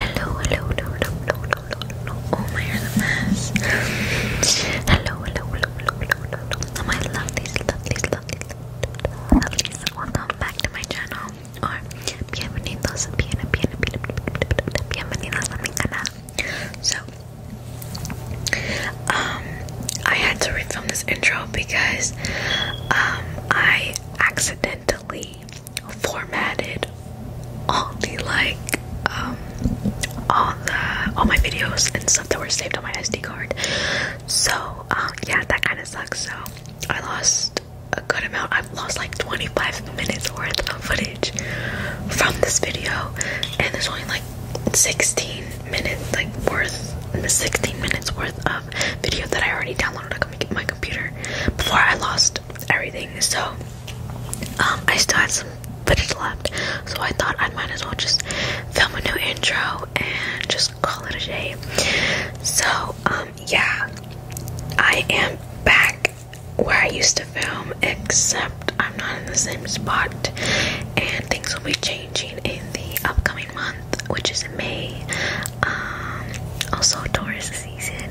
Hello, hello, hello, hello, hello, hello, hello. Oh, my hair's a mess. Hello, hello, hello, hello, hello, hello. Oh, my lovelies, lovelies, lovelies, lovelies. Welcome back to my channel. So, um, I had to refilm this intro because, um, I accidentally formatted all the like um all the all my videos and stuff that were saved on my SD card. So um, yeah that kinda sucks. So I lost a good amount. I've lost like 25 minutes worth of footage from this video and there's only like 16 minutes like worth 16 minutes worth of video that I already downloaded on my computer before I lost everything. So, um, I still have some footage left, so I thought I might as well just film a new intro and just call it a day. So, um, yeah, I am back where I used to film, except I'm not in the same spot, and things will be changing in the upcoming month, which is May. Um, also, Taurus season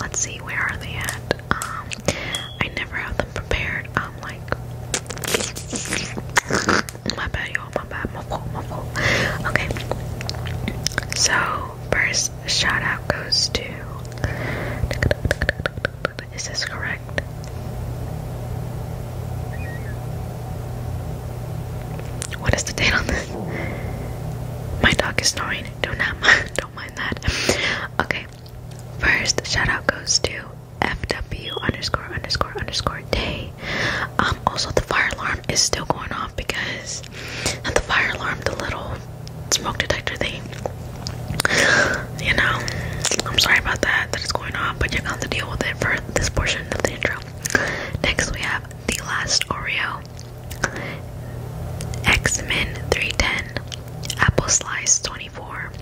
Let's see, where are they at? Um, I never have them prepared. I'm like, my bad, y'all, my bad, my fault, my fault. Okay, so first shout out goes to. Is this correct? What is the date on this? My dog is snoring. Do not mind. Don't mind that. Okay. First shout out goes to FW underscore underscore underscore day. Um also the fire alarm is still going off because the fire alarm, the little smoke detector thing. You know, I'm sorry about that That is going on, but you're going to deal with it for this portion of the intro. Next, we have The Last Oreo, X Men 310, Apple Slice 24,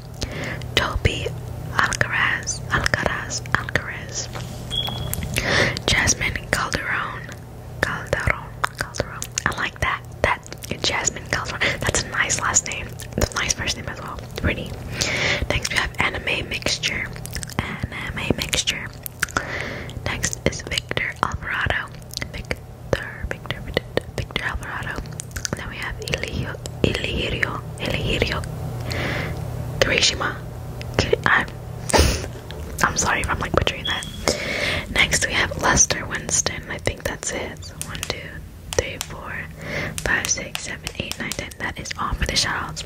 Toby Alcaraz, Alcaraz, Alcaraz, Jasmine Calderon, Calderon, Calderon. I like that. That Jasmine Calderon. That's a nice last name. It's a nice first name as well. Pretty. Next, we have Anime Mixture and uh, um, my mixture. Next is Victor Alvarado. Victor, Victor, Victor, Victor Alvarado. And then we have Ilio, Ilirio, Ilirio, Kirishima. Kiri I'm, I'm sorry if I'm like butchering that. Next we have Lester Winston. I think that's it. So 1, 2, 3, 4, 5, 6, 7, 8, 9, 10. That is all for the shoutouts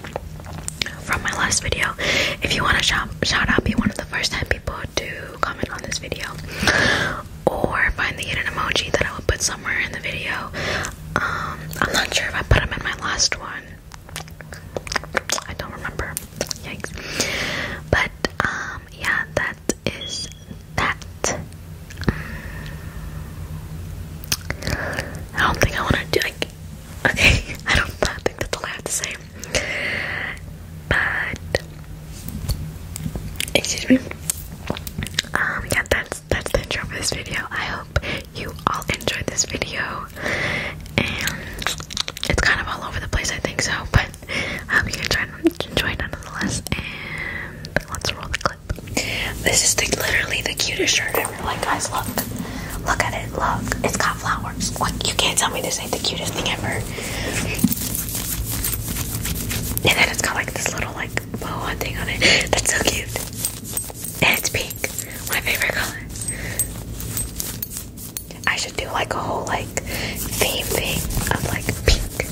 from my last video. If you want to shout, shout out, be one of the first 10 people to comment on this video or find the hidden emoji that I will put somewhere in the video. Um, I'm not sure if I put them in my last one. I don't remember. Yikes. But um, yeah, that is that. I don't think I want to do like Okay, I don't think that's all I have to say. But excuse me. Um yeah, that's that's the intro for this video. I hope you all enjoyed this video. And it's kind of all over the place, I think so, but I hope you enjoyed enjoyed nonetheless. And let's roll the clip. This is the, literally the cutest shirt ever. Like, guys, look. Look at it. Look. It's got flowers. Like, you can't tell me this ain't the cutest thing ever. And then it's got like this little like boa thing on it. That's so cute. And it's pink. My favorite color. I should do like a whole like theme thing of like pink.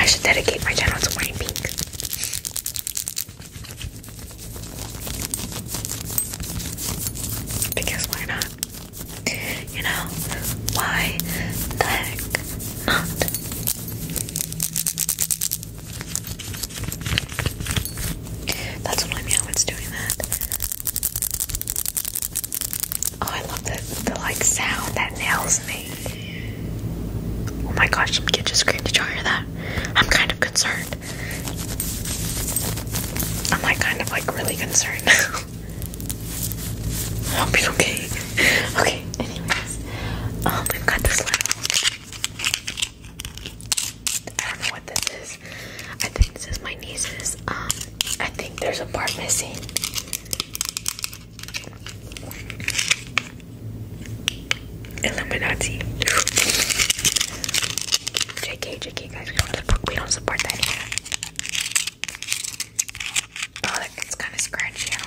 I should dedicate my channel to wearing pink. Because why not? You know, why the heck not? That's what I mean, doing that. Oh, I love the, the like sound that nails me. Oh my gosh, some kid just screamed. Did y'all hear that? I'm kind of concerned. I'm like kind of like really concerned I hope he's okay. Okay, anyways. Um, we've got this I don't know what this is. I think this is my niece's. Um, I think there's a part missing. Illuminati. JK, JK, guys, we don't support, that Oh, that gets kind of scratchy. that.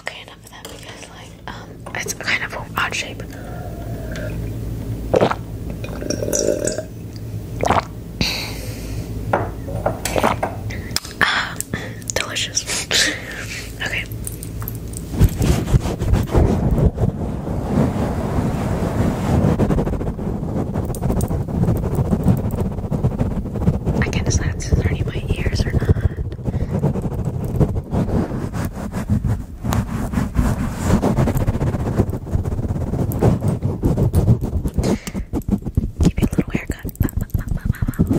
Okay, enough of that because like um it's kind of an odd shape. Uh, delicious. Okay. I can't decide if these are my ears or not. Give you a little haircut. Bah,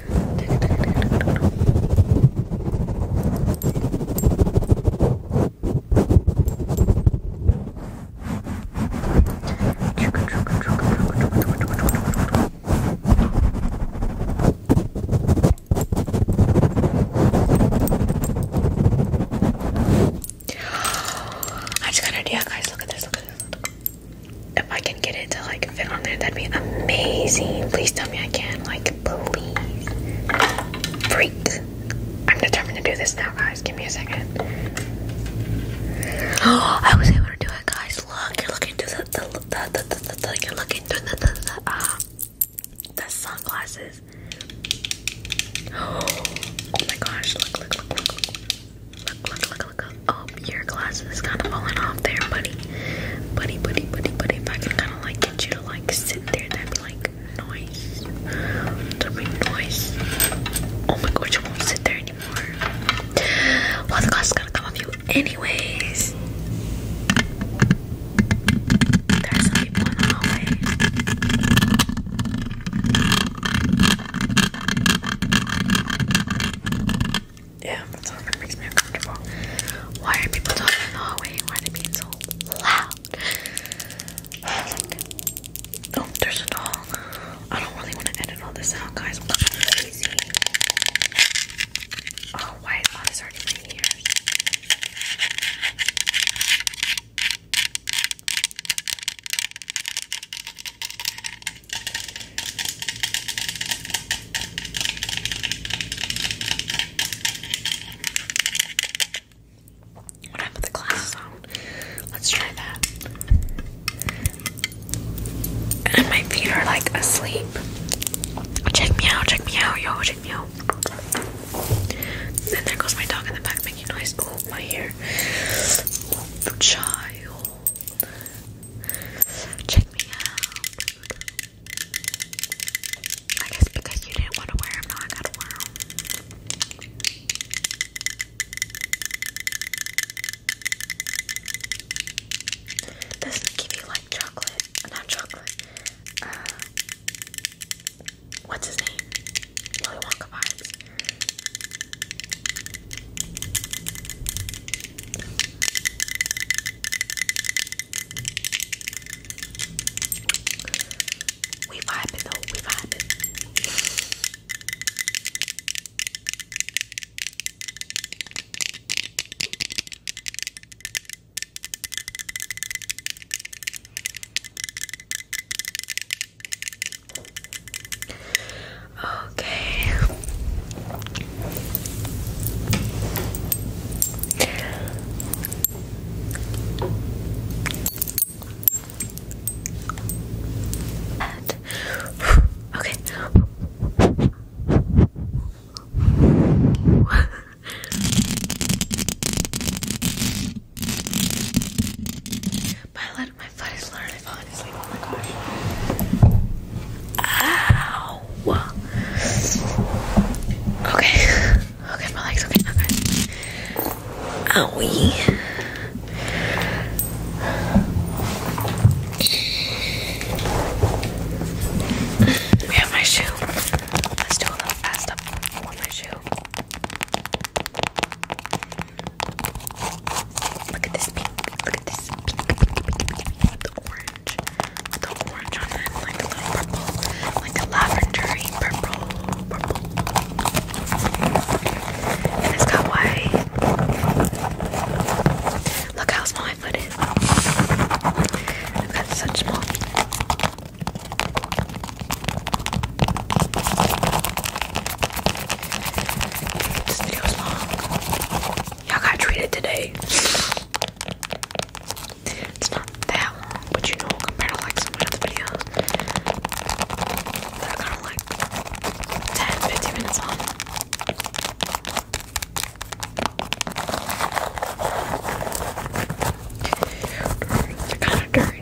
I just got an idea, guys. Look at this. Look at this. If I can get it to like that'd be amazing. Please tell me I can. Like, please. Freak. I'm determined to do this now, guys. Give me a second. Oh, I was able to do it, guys. Look, you're looking through the, the, the, the, the, the you're looking through the, the, the, sunglasses. Oh, my gosh, look, look, look, look, look, look, look, look, look. Oh, your glasses is kind of falling off there, buddy buddy, buddy, buddy, buddy. If I could kind of like get you to like sit there, that'd be like nice. That'd be Oh my god, you won't sit there anymore. Well, the cost is to come off you, anyways. There are some people yeah, that's that song makes me uncomfortable. Why are people talking in the hallway? Why are they being so loud? oh, there's a dog. I don't really want to edit all this out, guys. I'm not crazy. Oh, why is this already in my when the glasses on, let's try that. And my feet are like asleep. Check me out, check me out, yo, check me out. And there goes my dog in the back making noise. Oh, my ear. Child. Check me out. I guess because you didn't want to wear them, now I gotta wear them. Doesn't give you like chocolate? Not chocolate. Uh, what's his name? Willy Wonka vibes. We vibing though, we vibing. Okay okay. My, my foot is literally falling asleep. Oh my gosh. Ow. No. Okay. Okay, my legs. Okay, okay. Owie. We have my shoe. Let's do a little fast up on my shoe. Look at this pink. Look at this pink, pink, the orange the orange on it, like a little purple, like a lavendery purple, it's got white. Look how small my foot is. I've got such small feet. This video is Y'all got treated today. It's not that long, but you know, compared to like some other videos, they're kind of like 10 minutes long. They're kind of dirty.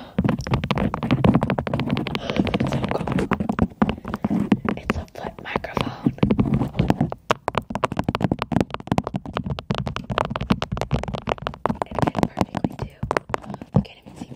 It's a foot microphone. It fit perfectly too. You can't even see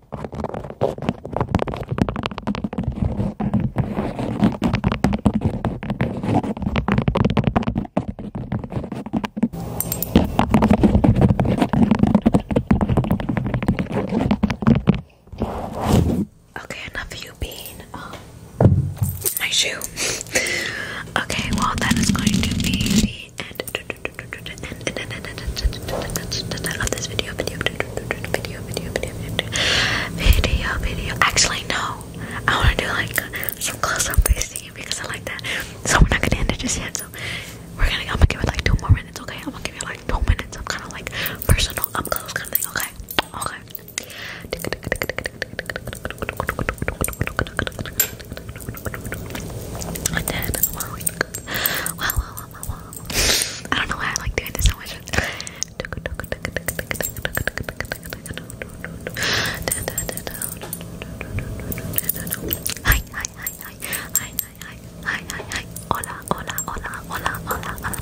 Okay, enough of you being my um, shoe. okay, well that is going to be the end of this video video, video, video, video, video, video. Actually, no. I want to do like some close-up facing because I like that. So we're not gonna end it just yet. So we're gonna. I'm gonna give it like two more minutes, okay? I'm gonna give it like two minutes. I'm kind of like personal, up close kind of thing, okay? Okay. And then, wow, wow, wow, wow, I don't know why I like doing this so much. Hi, hi, hi, hi, hi, hi, hi, hi, hi, hola, hola, hola, hola, hola, hola.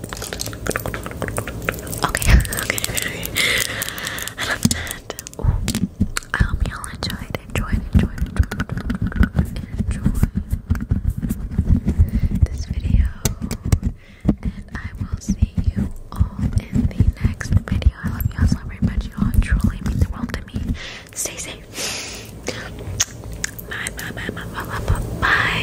Okay, okay, I love that. I hope y'all enjoyed. Enjoyed, enjoyed, enjoyed, this video. And I will see you all in the next video. I love y'all so very much. You all truly mean the world to me. Stay safe. bye, bye, bye, bye, bye.